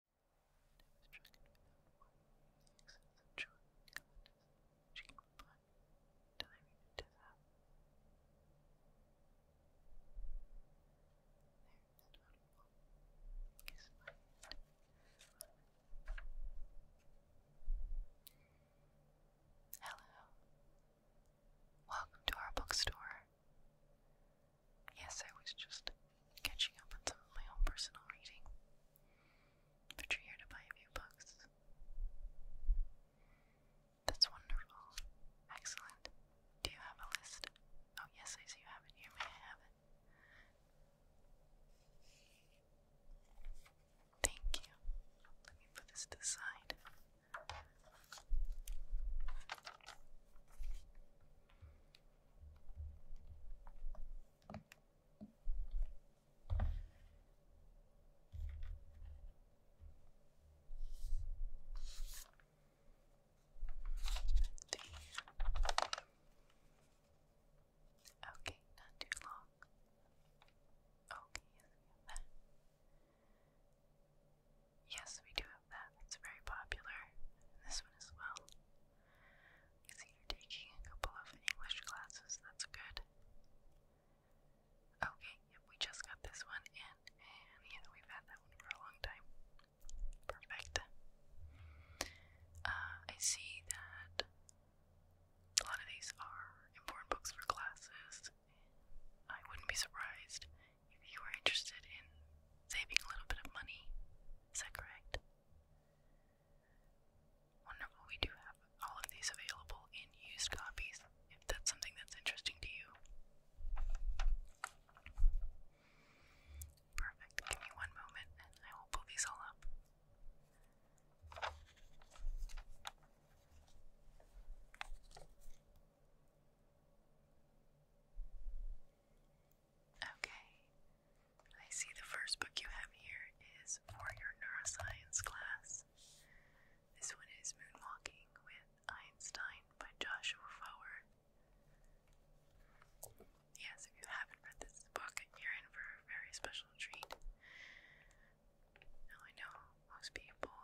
was stricken without warning with the excess of joy and gladness she could find, till I read it to her. There is not a one. Kiss my hand. Hello. Welcome to our bookstore. Yes, I was just catching up on some of my own personal reading. But you're here to buy a few books. That's wonderful. Excellent. Do you have a list? Oh, yes, I see you have it here. I have it? Thank you. Let me put this to the side. Okay, not too long. Okay, yes, we Yes, we do have that. It's very popular. And this one as well. I see you're taking a couple of English classes. That's good. Okay, we just got this one in. And we've had that one for a long time. Perfect. Uh, I see that a lot of these are important books for classes. I wouldn't be surprised if you were interested in saving a little bit of money is that correct? Wonderful. We do have all of these available in used copies if that's something that's interesting to you. Perfect. Give me one moment and I will pull these all up. Okay. I see the first book you have here is for your neuroscience class. This one is Moonwalking with Einstein by Joshua Fowler. Yes, if you haven't read this book, you're in for a very special treat. Now, I know most people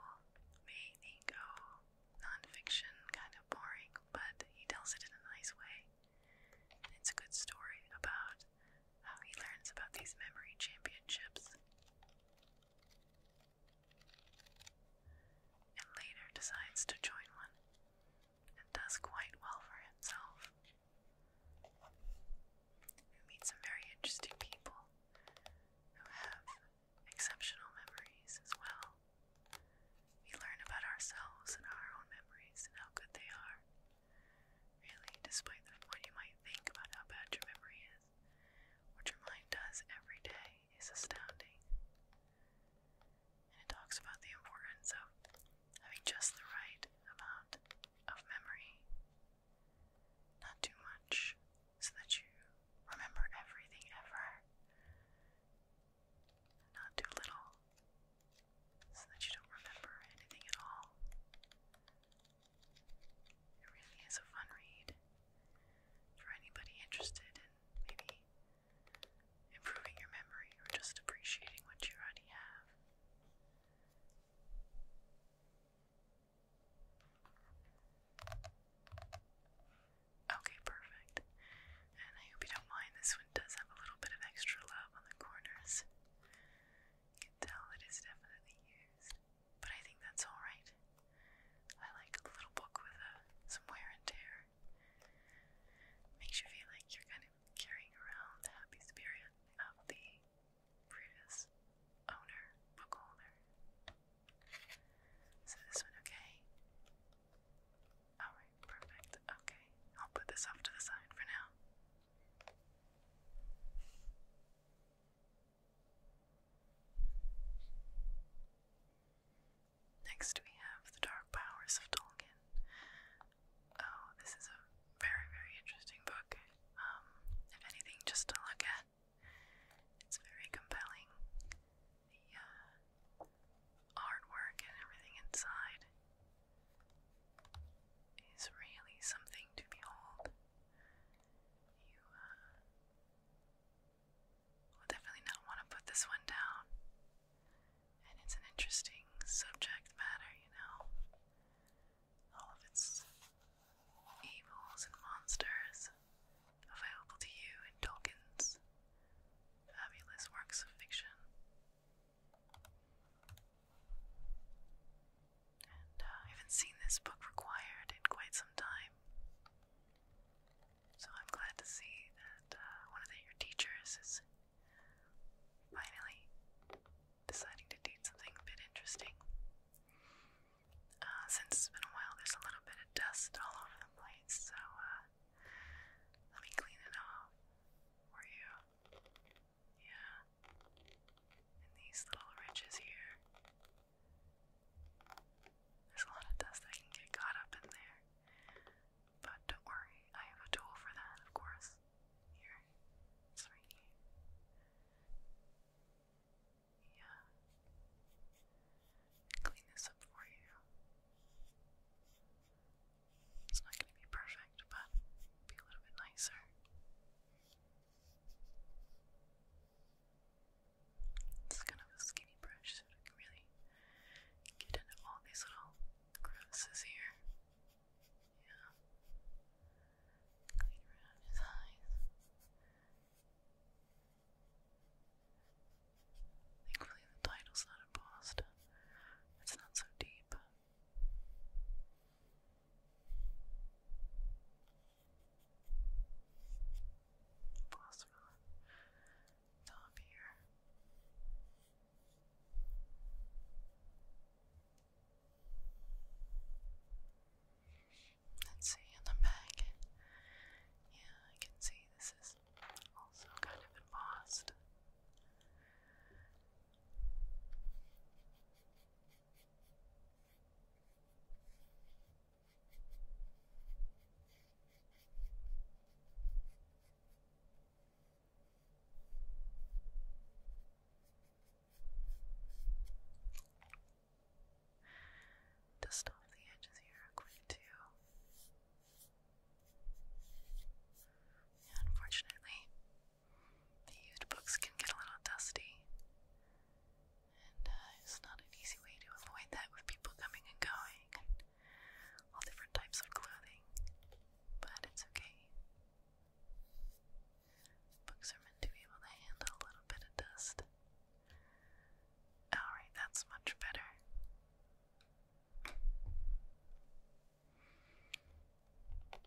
may think, oh, nonfiction, kind of boring, but he tells it in a nice way. And it's a good story about how he learns about these memory championships. And later decides to join one and does quite well for himself. Who meet some very interesting people who have exceptional memories as well. We learn about ourselves and our own memories and how good they are. Really, despite the, what you might think about how bad your memory is, what your mind does every day is astounding. And it talks about the importance of having just the right amount of memory. Not too much, so that you remember everything ever not too little, so that you don't remember anything at all. It really is a fun read for anybody interested in maybe improving your memory or just appreciating what you already have. Okay, perfect. And I hope you don't mind, this one does have a little bit of extra love on the corners. You can tell it is definitely used, but I think that's alright. I like a little book with uh, some wear and tear. Makes you feel like you're kind of carrying around the happy spirit of the previous owner, book holder. So this one okay? Alright, perfect. Okay, I'll put this off to the side for now. Next, we have the Dark Powers of Tolkien. Oh, this is a very, very interesting book. Um, if anything, just to look at, it's very compelling the uh, artwork and everything inside is really something to behold. You uh, will definitely not want to put this one down. And it's an interesting subject matter, you know. All of its evils and monsters available to you in Tolkien's fabulous works of fiction. Uh, I haven't seen this book required in quite some time. So I'm glad to see that uh, one of your teachers is finally deciding to teach something a bit interesting. Uh, since it's been a while, there's a little bit of dust all over the place, so let me clean it off for you. Yeah. And these little ridges here. There's a lot of dust that can get caught up in there. But don't worry, I have a tool for that, of course. Here. It's right here. Yeah clean this up for you. It's not going to be perfect, but be a little bit nicer. It's kind of a skinny brush, so we really get into all these little crevices here. Yeah. Clean around his eyes. Thankfully, the title's not embossed. It's not so deep. Emboss from here. Let's see in the back. Yeah, I can see this is also kind of embossed. Dust off the edges here quick too. unfortunately, the used books can get a little dusty. And uh, it's not an easy way to avoid that with people coming and going all different types of clothing. But it's okay. Books are meant to be able to handle a little bit of dust. Alright, that's much better.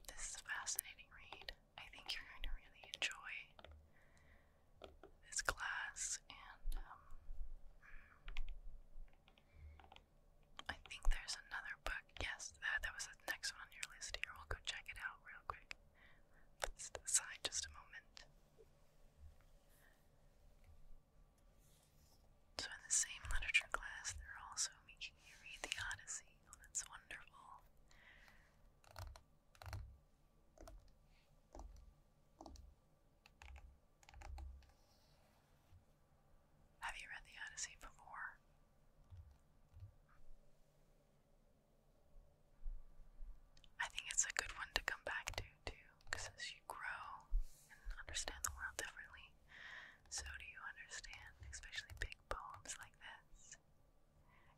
This is a fascinating read. I think you're going to really enjoy this class, and um, I think there's another book. Yes, that, that was the next one on your list here. We'll go check it out real quick. Put this to the side just a moment. So, in the same literature class, they're also making you read the Odyssey. Oh, that's wonderful. Have you read the Odyssey before? I think it's a good one to come back to too, because as you grow and understand the world differently, so do you understand, especially big poems like this.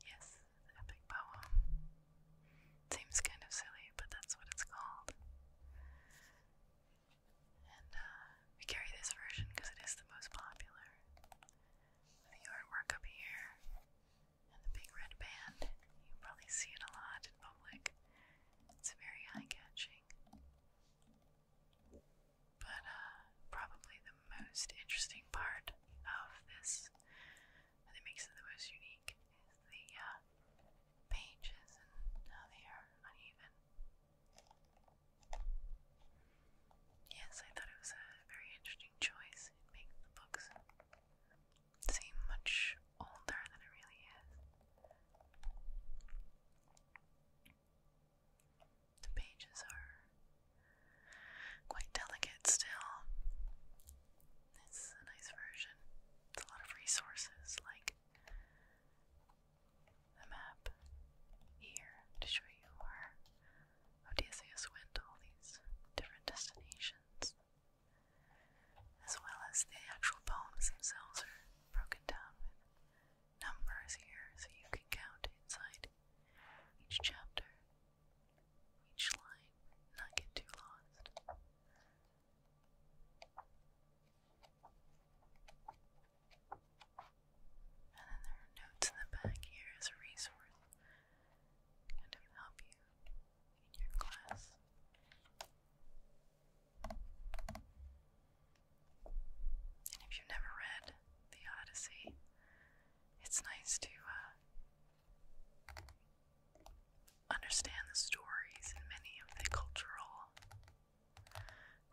Yes, epic poem. Seems kind of silly, but that's what it's called. And uh, we carry this version because it is the most popular. The artwork up here and the big red band. You probably see it a lot in public. It's very eye-catching. But uh, probably the most interesting part of this and it makes it the most unique is the uh, pages and how they are uneven. Yes, I thought it was a very interesting choice. It makes the books seem much older than it really is. The pages are quite delicate still. It's a nice version. It's a lot of resources like the map here to show you where Odysseus went to all these different destinations as well as the actual poems themselves are broken down with numbers here so you can count inside each chapter, each line, not get too lost. And then there are notes in the back here as a resource, kind of help you and if you've never read The Odyssey, it's nice to uh, understand the stories and many of the cultural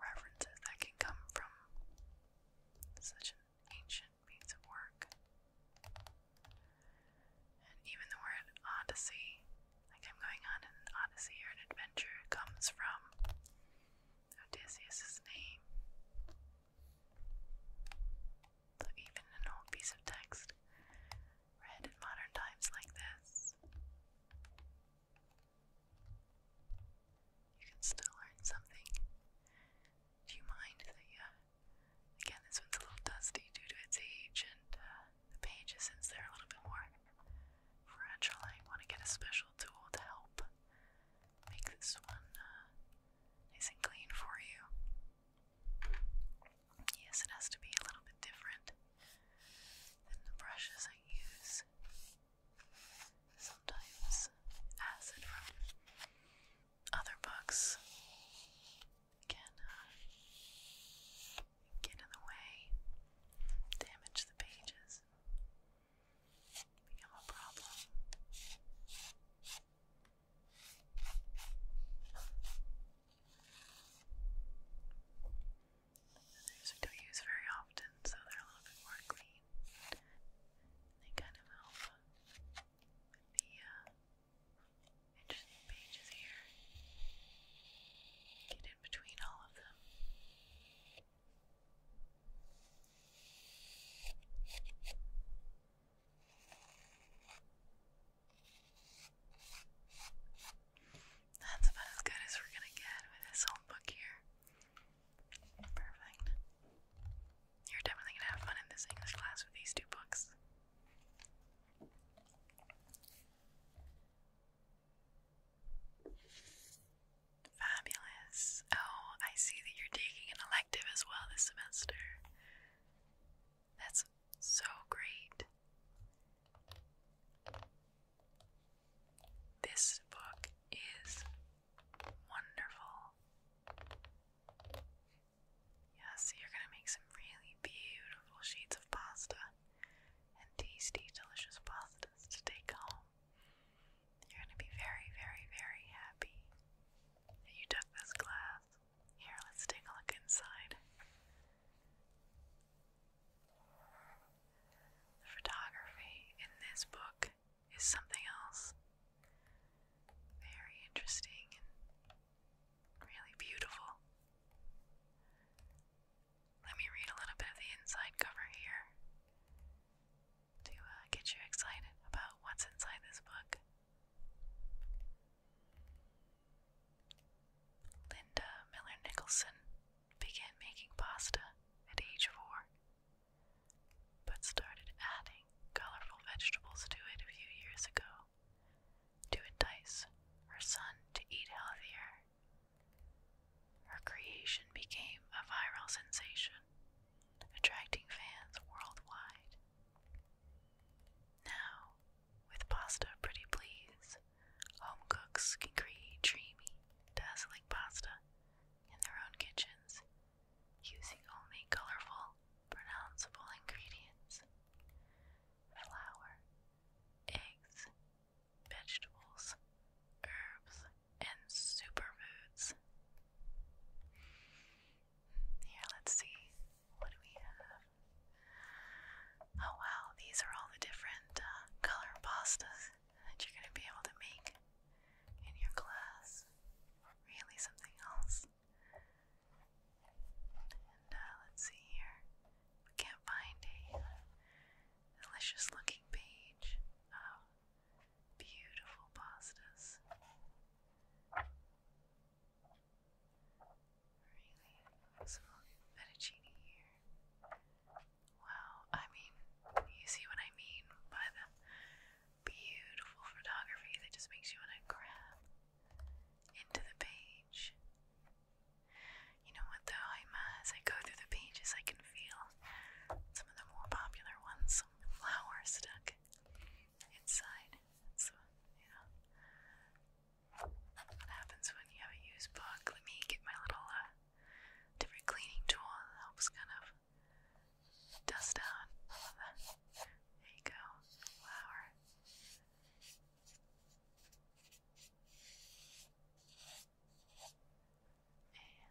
references that can come from such an ancient piece of work. And even the word odyssey, like I'm going on an odyssey or an adventure, comes from Odysseus' name. So even an old piece of text read in modern times like this, you can still learn something. Do you mind that Again, this one's a little dusty due to its age, and uh, the pages, since they're a little bit more fragile, I want to get a special tool to help make this one uh, nice and clean for you. Yes, it has to be a little bit different than the brushes I use. Sometimes acid from other books can uh, get in the way, damage the pages, become a problem. These don't use very often, so they're a little bit more clean. They kind of help the uh, and pages here. Get in between all of them. That's about as good as we're gonna get with this whole book here. Perfect. You're definitely gonna have fun in this English class with these two books. Fabulous. Oh, I see that you're taking an elective as well this semester. That's so great. This book is wonderful. Yeah, you're gonna make some really beautiful sheets of pasta and tasty, delicious pastas to take home. You're gonna be very, very, very happy that you took this class. Here, let's take a look inside. The photography in this book is something else. Very interesting Really beautiful. Let me read a little bit of the inside cover here to uh, get you excited about what's inside this book. Linda Miller Nicholson began making pasta at age four, but started adding colorful vegetables to it a few years ago to entice her son to eat healthier. Her creation became a viral sensation, attracting fans worldwide. Now, with pasta pretty please, home cooks can create dreamy, dazzling pasta in their own kitchens using only colorful, pronounceable ingredients flour, eggs, vegetables, herbs, and superfoods. Here, let's see. What we have? Oh wow, these are all the different uh, color pastas that you're going to be able to make in your class. Really something else. Uh, let's see here. We can't find a uh, delicious looking page of beautiful pastas. Really, some fettuccine here. Wow, I mean, you see what I mean by the beautiful photography that just makes you want to grab into the page. You know what the I'm, as I go through the pages, I can feel some of the more popular ones, some flowers stuck inside. So, you what happens when you have a used book? Let me get my little uh, different cleaning tool helps kind of dust out all of the there you go, flower. And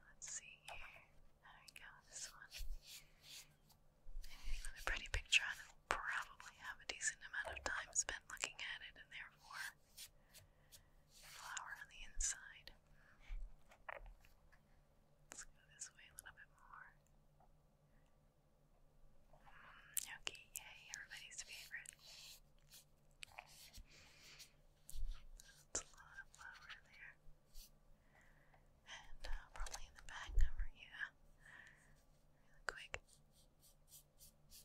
let's see here. There we go, this one. Anything pretty picture on will probably have a decent amount of time spent looking at it, and therefore, flower on the inside. Let's go this way a little bit more. Okay, yay, everybody's favorite. That's a lot of flour there. And uh, probably in the back cover, yeah. quick. And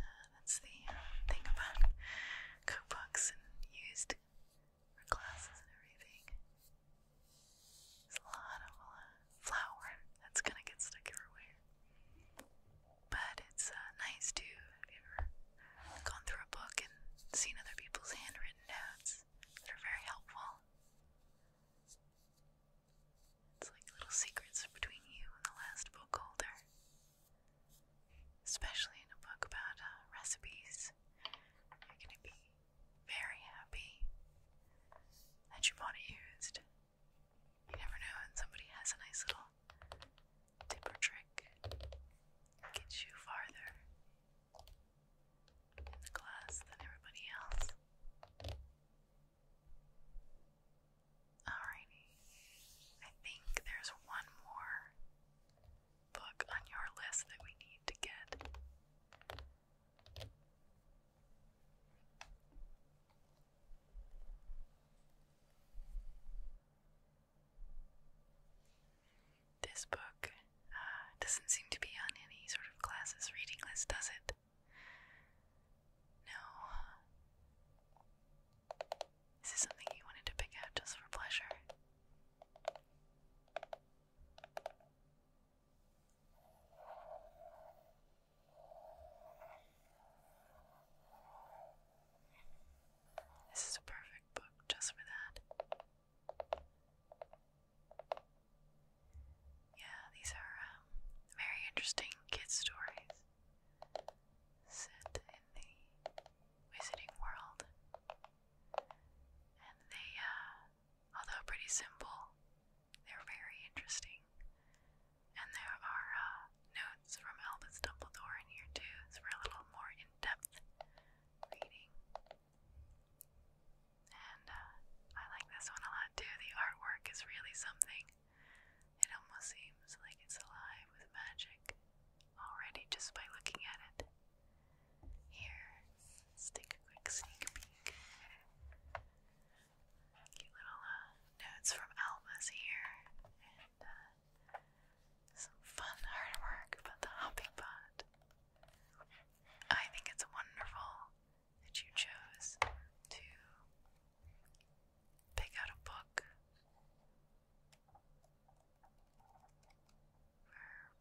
uh, that's the uh, thing about cookbooks and used for and everything. There's a lot of flour that's gonna get stuck everywhere. But it's uh, nice too. Have gone through a book and seen other people's handwritten notes that are very helpful? It's like little secrets between you and the last book holder. Especially in a book about uh, recipes, very happy that you bought it used. You never know when somebody has a nice little tip or trick gets you farther in the class than everybody else. Alrighty, I think there's one more book on your list that we need to get. This book uh, doesn't seem to be on any sort of classes reading list, does it? No. Is this something you wanted to pick out just for pleasure? This is a perfect book just for that. Yeah, these are um, very interesting kids' stories. Set in the Visiting World. And they, uh, although pretty simple, they're very interesting. And there are uh, notes from Albus Dumbledore in here too, so for a little more in depth reading. And uh, I like this one a lot too. The artwork is really something. It almost seems like it's alive with magic already just by looking at it. Here, take a quick sneak peek. Cute little uh, notes from Alma's here, and uh, some fun artwork about the hopping pot. I think it's wonderful that you chose to pick out a book for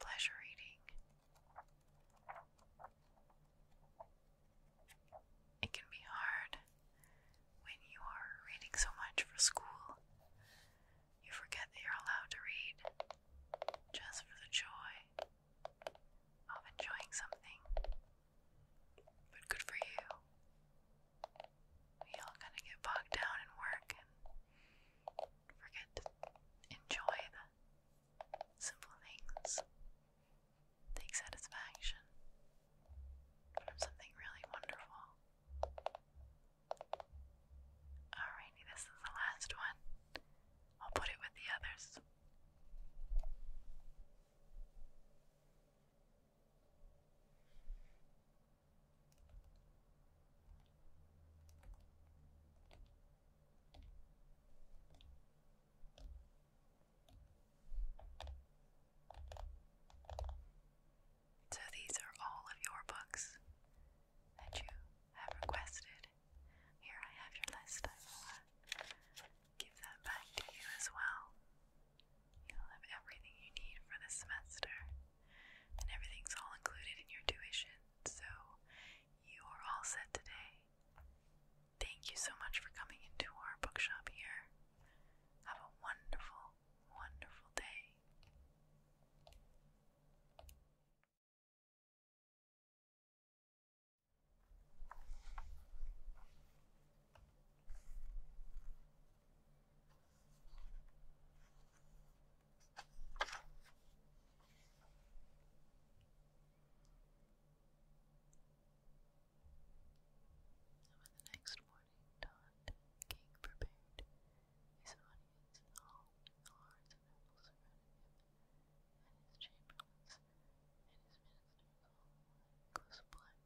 pleasure eating. It can be hard when you are reading so much for school. You forget that you're allowed to read just for the joy of enjoying something. But good for you. We all kind of get bogged down in work forget to enjoy the simple things. Take satisfaction from something really wonderful. Alrighty, this is the last one. I'll put it with the others. So, these are all of your books that you have requested. Here I have your list. I will uh, give that back to you as well. You'll have everything you need for this semester. And everything's all included in your tuition. So you are all set today. Thank you so much for coming into our bookshop here. Have a wonderful, wonderful day when the next morning dawned, King prepared his audience in hall, the lords and nobles surrounded him, and his chamberlains and his ministers all close black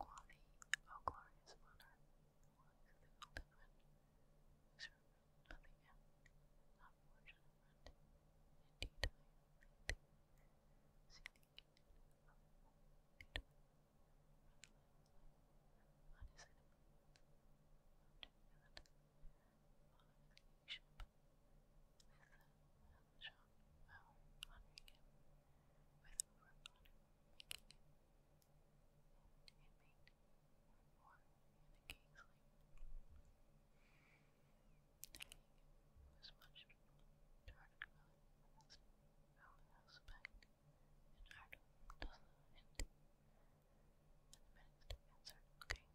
Quavi, O glorious monarch, was the golden one, servant of the end, unfortunate friend, indeed I am thee, seeking of the on his enemy, unto heaven, bishop. With the Elshon honoring him with overblood, making him an inmate or in a king's The was much dark-colored with aspect, and Ardo doesn't hint. And the minister answered, King,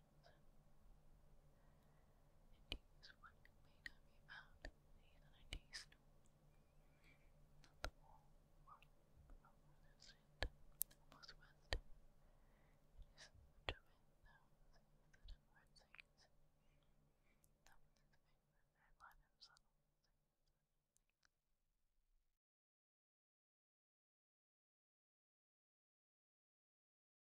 Ideas one may not be found in an idea store. Not the wall or reminiscent It is much of it now that I'm worth things. That was his favorite